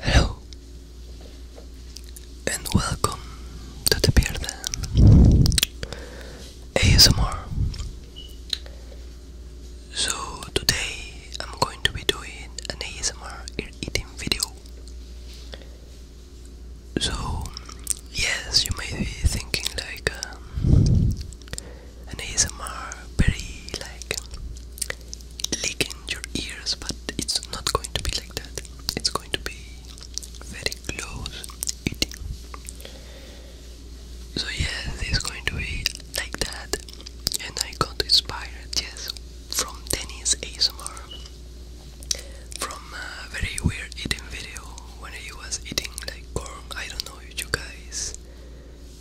Hello and welcome to the Beer ASMR. So today I'm going to be doing an ASMR ear eating video. So yes, you may be thinking like um, an ASMR very like licking your ears, but it's not going to be like that. It's going to be very close eating. So yeah, this is going to be like that. And I got inspired, yes, from Dennis ASMR, from a very weird eating video when he was eating like corn. I don't know if you guys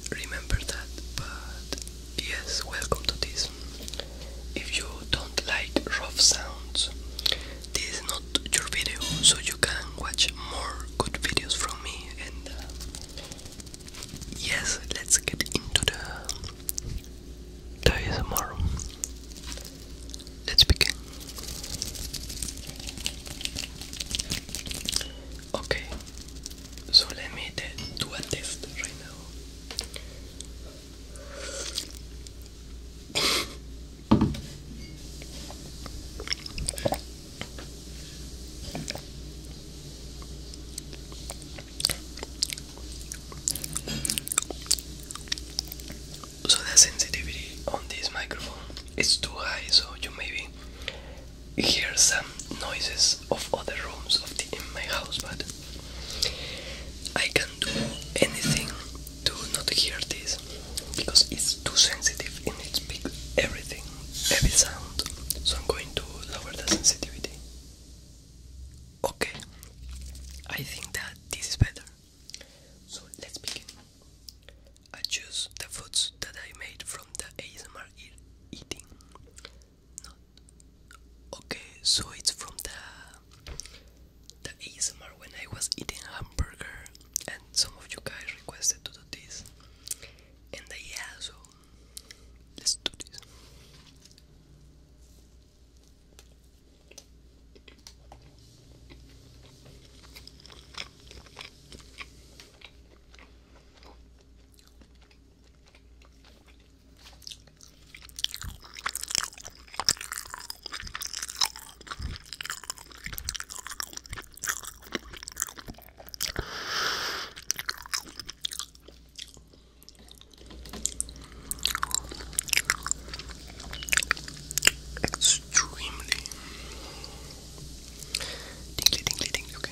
remember that, but yes, welcome to this. If you don't like rough sounds, this is not your video, so you can watch more good videos from me and uh, yes, let's get into the, the ASMR. Let's begin. Okay, so let me do a test right now. So the sensitivity on this microphone is too high, so you maybe hear some noises of other rooms of in my house, but I can do anything to not hear this because it's too sensitive and it's big everything, every sound. So I'm going to lower the sensitivity. Okay, I think that this is better. So let's begin. I choose the foods that I made from the ASMR eating. okay, so it's from the the ASMR when I was eating hamburger, and some of you guys requested to do this and the yeah so let's do this Extremely tingly, tingly, tingly. Okay.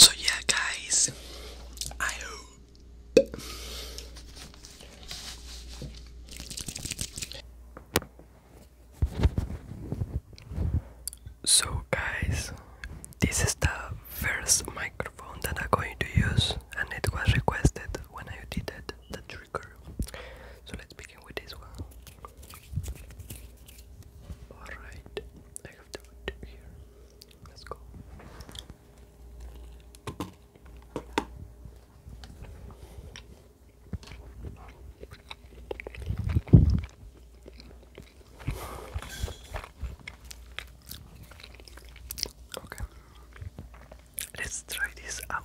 So, yeah, guys, I hope. So guys, this is the first microphone that I'm going to use and it was requested when I did the trigger. So let's begin with this one. Alright, I have the wood here. Let's go. Okay, let's try this out.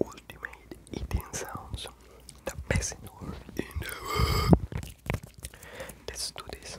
Ultimate eating sounds, the best in the world. Let's do this.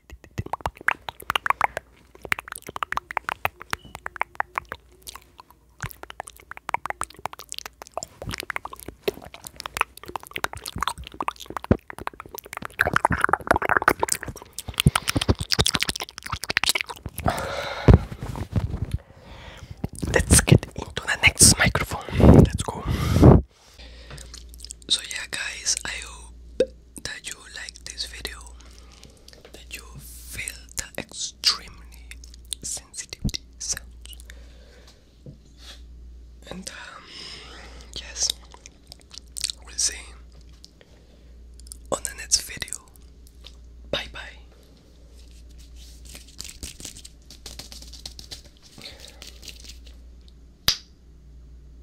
Let's get into the next microphone. Let's go. So, yeah, guys, I hope that you like this video, that you feel the extremely sensitivity sounds, and um, yes, we'll see on the next video. Bye bye.